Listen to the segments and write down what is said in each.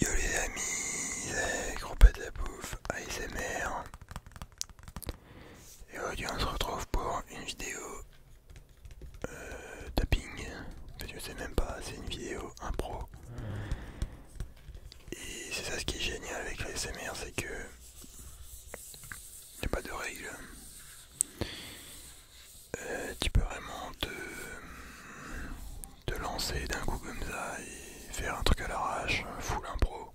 Yo les amis, c'est la Bouffe ASMR Et aujourd'hui on se retrouve pour une vidéo euh, tapping Parce je sais même pas, c'est une vidéo impro Et c'est ça ce qui est génial avec l'ASMR, c'est que il n'y a pas de règles euh, Tu peux vraiment te de lancer d'un coup comme ça et faire un truc à l'arrache, full impro.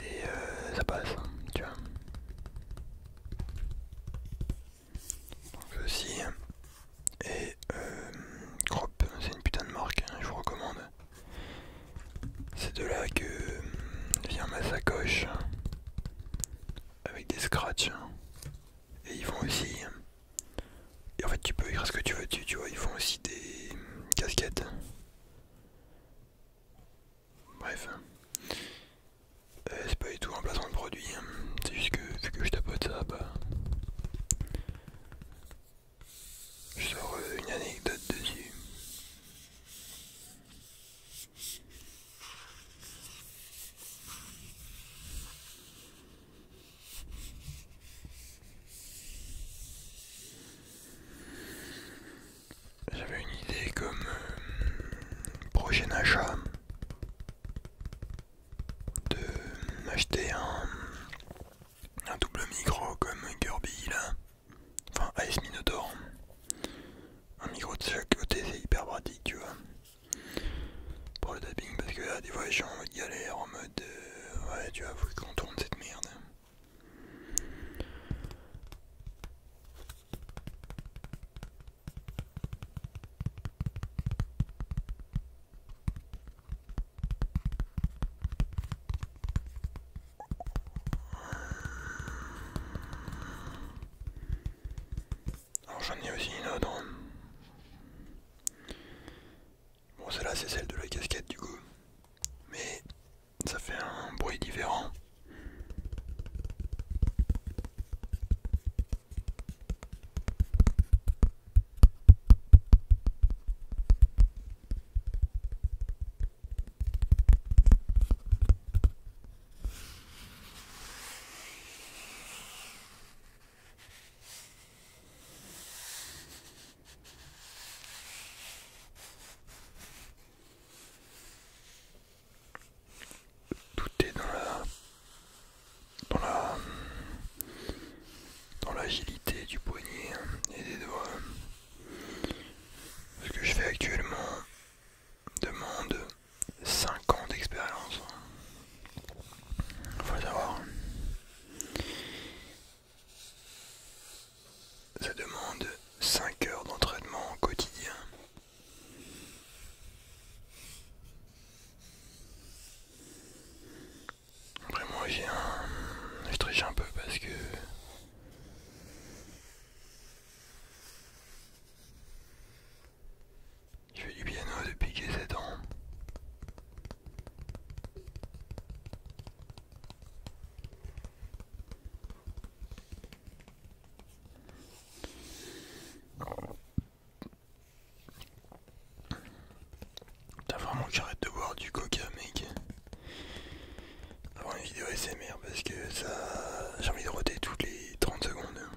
Et euh, ça passe, tu vois. Donc ceci Et euh, Crop, c'est une putain de marque, hein, je vous recommande. C'est de là que vient ma sacoche avec des scratchs hein. et ils font aussi hein. et en fait tu peux écrire ce que tu veux tu, tu vois ils font aussi des hum, casquettes bref hein. euh, c'est pas du tout un placement de produit c'est juste que vu que je tapote ça bah je sors euh, une anecdote dessus j'avais une idée comme projet euh, prochain achat de m'acheter un, un double micro comme Kirby là, enfin Ice Minotaur. Un micro de chaque côté c'est hyper pratique tu vois pour le tapping parce que là ah, des fois je suis en mode galère, en mode euh, ouais tu vas vous qu'on tourne cette merde. Alors j'en ai aussi une autre. Hein. Bon celle-là c'est celle de la casquette du coup. Mais ça fait un bruit différent. Tout est dans la dans la dans l'agilité du poignet et des doigts. Ce que je fais actuellement demande 5 ans d'expérience. Faut savoir. Ça demande 5 heures d'entraînement quotidien. Après moi j'ai un... Je triche un peu parce que... Je fais du piano depuis que j'ai 7 ans. T'as vraiment arrêter de boire du coca mec avant une vidéo SMR parce que ça j'ai envie de roter toutes les 30 secondes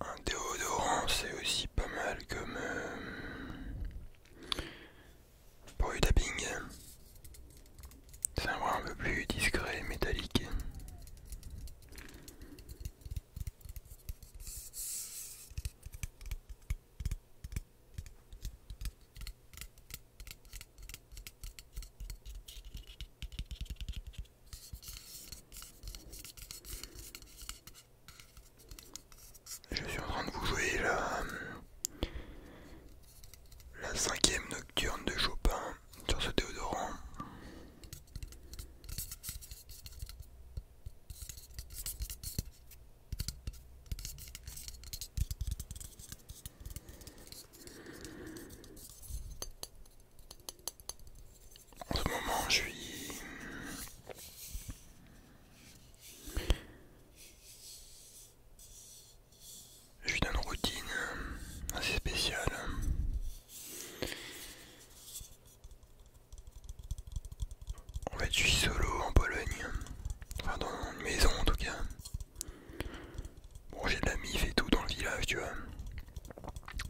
Un déodorant, c'est aussi pas mal comme euh, pour le tapping. C'est un bras un peu plus discret, métallique. Je suis en train de vous jouer la, la cinquième nocturne de Chopin sur ce déodorant. En ce moment, je suis. Je suis dans une routine assez spéciale. En fait, je suis solo en Pologne. Enfin, dans une maison en tout cas. Bon, j'ai de la mif et tout dans le village, tu vois.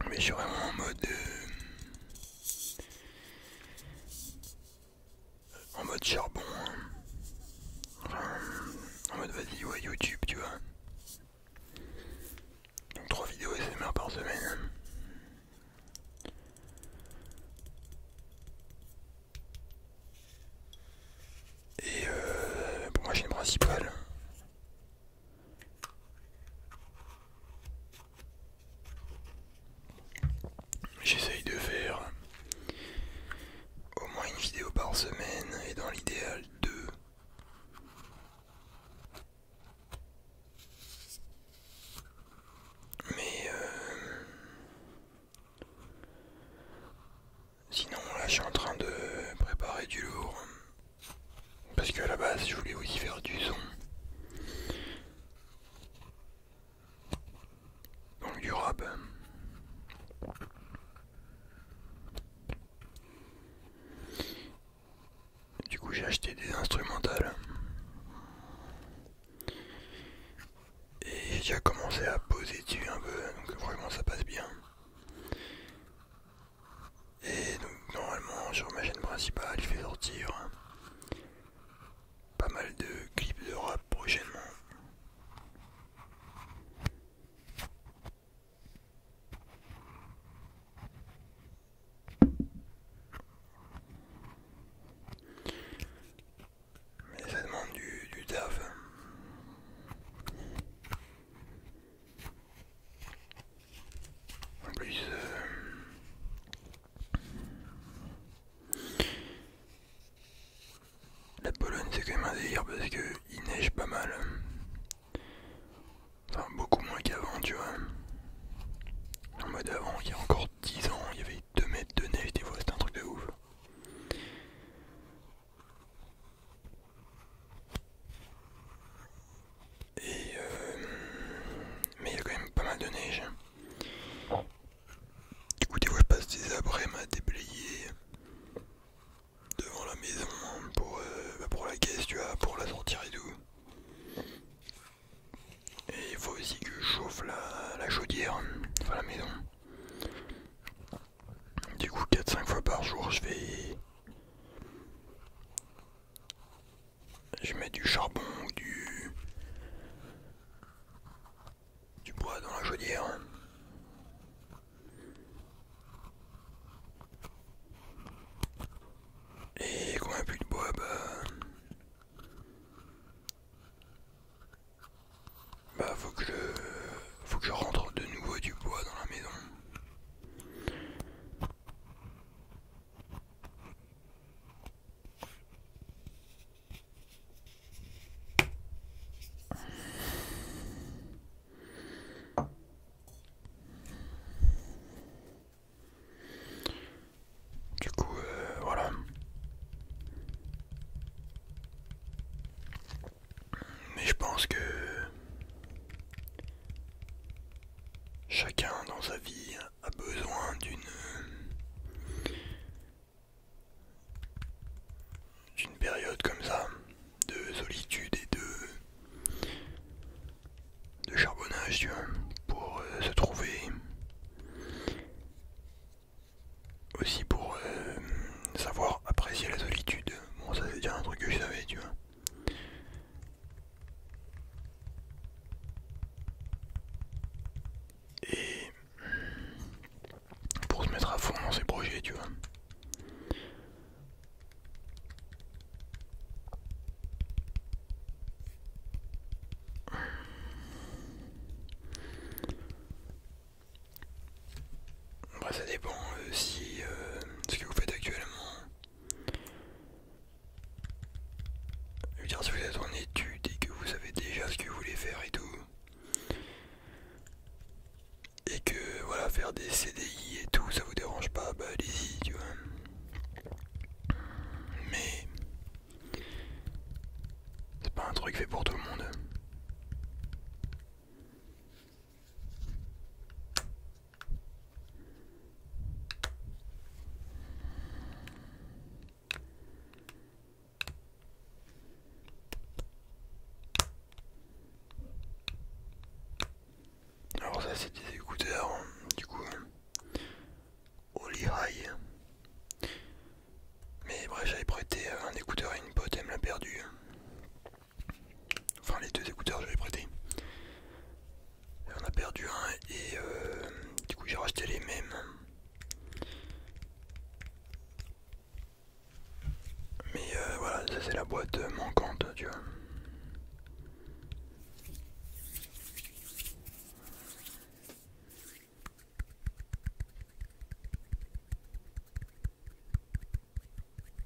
Mais je suis vraiment en mode. Euh, en mode charbon. en mode vas-y, ouais, YouTube, tu vois. Donc 3 vidéos SMR par semaine. Et euh, pour ma chaîne principale, J'essaye de faire au moins une vidéo par semaine et dans l'idéal deux. Mais euh, sinon là je suis en train de préparer du lourd parce que à la base, je voulais aussi faire du son. Donc du rap. Du coup, j'ai acheté des instrumentales. Et j'ai déjà commencé à poser dessus un peu, donc vraiment ça passe bien. Et donc normalement sur ma chaîne principale je fais sortir pas mal de clips de rap prochainement. Mais ça demande du, du taf. En plus, euh, la Pologne c'est quand même un délire parce que il neige pas mal. Enfin, beaucoup moins qu'avant, tu vois. En mode avant, il y a encore 10 ans, il y avait 2 mètres de neige, des fois c'était un truc de ouf. Et euh, mais il y a quand même pas mal de neige. Du coup des fois je passe des abrèmes à déblayer devant la maison pour, euh, bah, pour la caisse tu vois, pour la sortir et tout. Et il faut aussi que je chauffe la, la chaudière, enfin la maison. Du coup 4-5 fois par jour je vais je mets du charbon ou du, du bois dans la chaudière. Et quand il n'y a plus de bois, bah... Bah faut que je... Faut que je rentre de nouveau du bois dans la maison. Du coup, euh, voilà. Mais je pense que Chacun dans sa vie a besoin d'une d'une période comme ça de solitude et de de charbonnage tu vois, pour euh, se trouver aussi pour euh, savoir apprécier la solitude bon ça c'est déjà un truc que je savais tu vois et pour se mettre à fond dans ses projets, tu vois. Bah, ça dépend euh, si euh, ce que vous faites actuellement je veux dire, si vous êtes en étude et que vous savez déjà ce que vous voulez faire et tout, et que voilà, faire des CDI et tout, ça vous dérange pas, bah allez-y, tu vois. Mais c'est pas un truc fait pour tout le monde. Alors ça c'est des écouteurs du coup Holy High Mais bref j'avais prêté un écouteur à une pote, elle me l'a perdu Enfin les deux écouteurs j'avais prêté et on a perdu un et euh, du coup j'ai racheté les mêmes. Mais euh, voilà, ça c'est la boîte manquante, tu vois.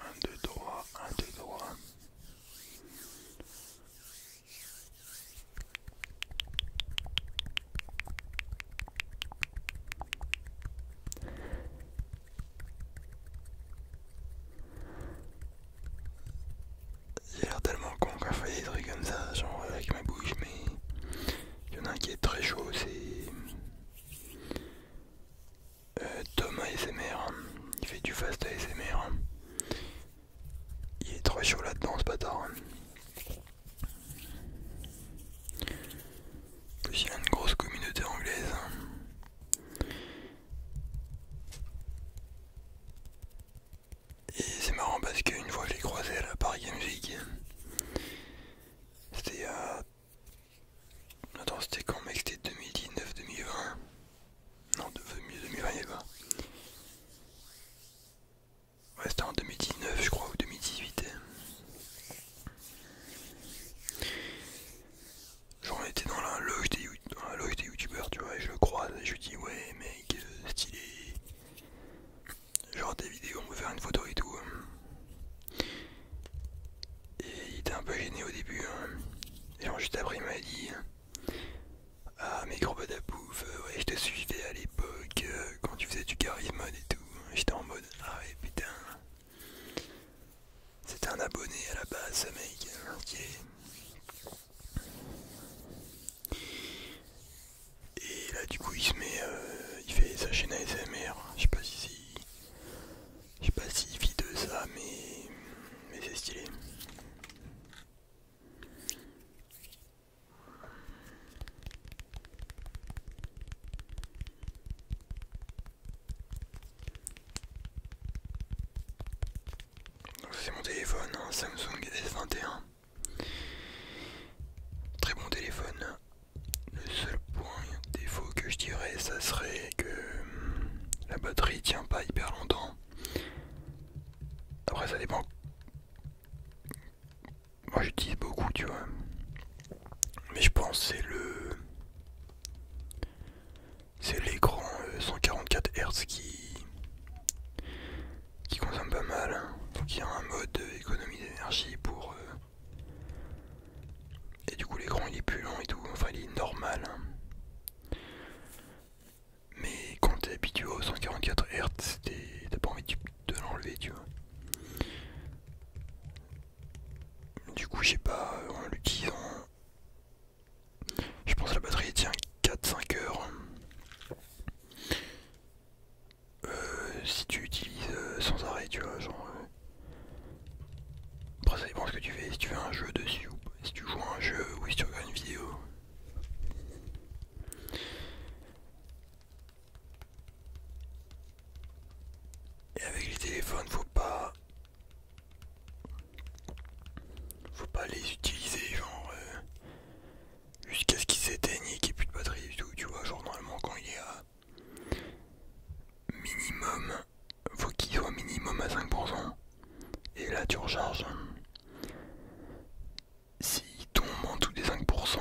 Un, deux, droit, un, deux, droit. J'ai l'air tellement con qu'à je des trucs comme ça, genre avec ma bouche, mais il y en a un qui est très chaud, c'est euh, Thomas Tom ASMR, il fait du fast ASMR. Il est très chaud là-dedans ce bâtard. Plus il a une grosse communauté anglaise. Et c'est marrant parce qu'une fois j'ai croisé à la Paris Game c'était à Attends, c'était quand, mec C'était 2019, 2020 Non, 2020 mieux 2020, il pas. Ouais, c'était en 2019, je crois, ou 2018. Genre, on était dans la loge des, youtubeurs, tu vois, et je le croise, et je lui dis, ouais, mec, euh, stylé. Genre, des vidéos, on peut faire une photo et tout. Et il était un peu gêné au début. Hein. Et juste après il m'a dit Ah mais gros pouf, euh, ouais je te suivais à l'époque euh, quand tu faisais du charisme et tout. J'étais en mode Ah ouais putain. C'était un abonné à la base ce mec. Hein, et là du coup il se met, euh, il fait sa chaîne ASMR, je sais pas si je sais pas si vit de ça, mais, c'est stylé. C'est mon téléphone, hein, Samsung S21. Très bon téléphone. Le seul point défaut que je dirais, ça serait que hum, la batterie tient pas hyper longtemps. Après ça dépend. Moi j'utilise beaucoup tu vois. Mais je pense c'est le. C'est l'écran 144 euh, Hz qui. qui consomme pas mal. Hein. Donc il y a un mode économie d'énergie pour euh, et du coup l'écran il est plus long et tout, enfin il est normal. Hein. Mais quand t'es habitué au 144 Hz, t'as pas envie de l'enlever, tu vois. Du coup, je sais pas, euh, en l'utilisant, je pense que la batterie tient 4-5 heures. Hein. Euh, si tu utilises euh, sans arrêt, tu vois, genre après ça dépend ce que tu fais, si tu fais un jeu dessus ou si tu joues un jeu ou si tu regardes une vidéo. Et avec les téléphones faut pas faut pas les utiliser genre euh, jusqu'à ce qu'ils s'éteignent et qu'il n'y ait plus de batterie du tout tu vois genre normalement quand il y a minimum faut qu'il soit minimum à 5%. Et là tu recharges. S'il tombe en dessous des 5%,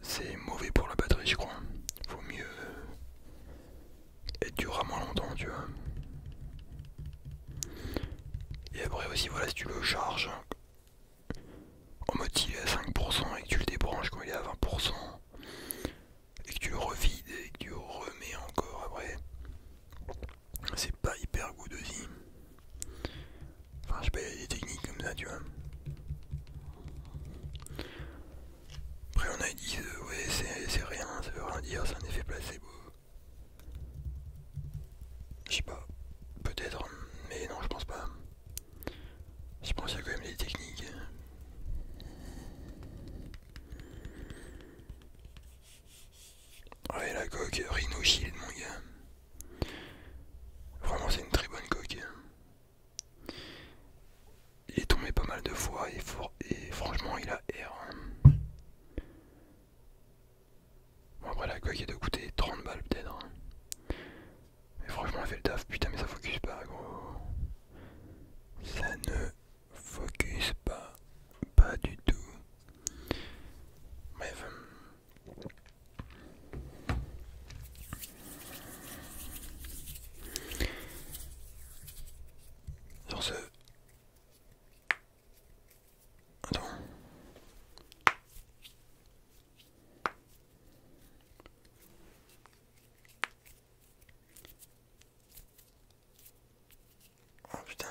c'est mauvais pour la batterie je crois. Faut mieux être à moins longtemps tu vois. Et après aussi voilà si tu le charges en mode il est à 5% et que tu le débranches quand il est à 20%, et que tu revides et que tu remets encore après, c'est pas hyper good Enfin, je sais pas, il y a des techniques comme ça, tu vois. Après, on a dit, euh, ouais, c'est rien, ça veut rien dire, c'est un effet placebo. Je sais pas, peut-être, mais non, je pense pas. Je pense qu'il y a quand même des techniques. Ouais, la coque Rhino Shield, mon gars. Vraiment, c'est une très bonne coque. Hein. Il est tombé pas mal de fois et, franchement, il a air. Hein. après, la coque, est doit coûter 30 balles, peut-être. Hein. Mais franchement, elle fait le taf. Putain, mais ça focus pas, gros. Ça ne focus pas, pas du tout. Bref. Euh, sur ce... Attends. Oh putain.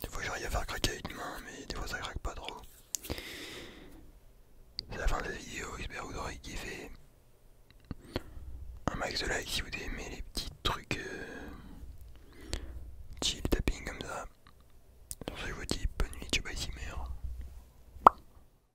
Des fois j'arrive à faire craquer avec une main, mais des fois ça craque pas trop. C'est la fin de la vidéo, j'espère que vous aurez kiffé. Un max de like si vous aimez les petits trucs euh, chill tapping comme ça. Sur ce, je vous dis bonne nuit, je bye,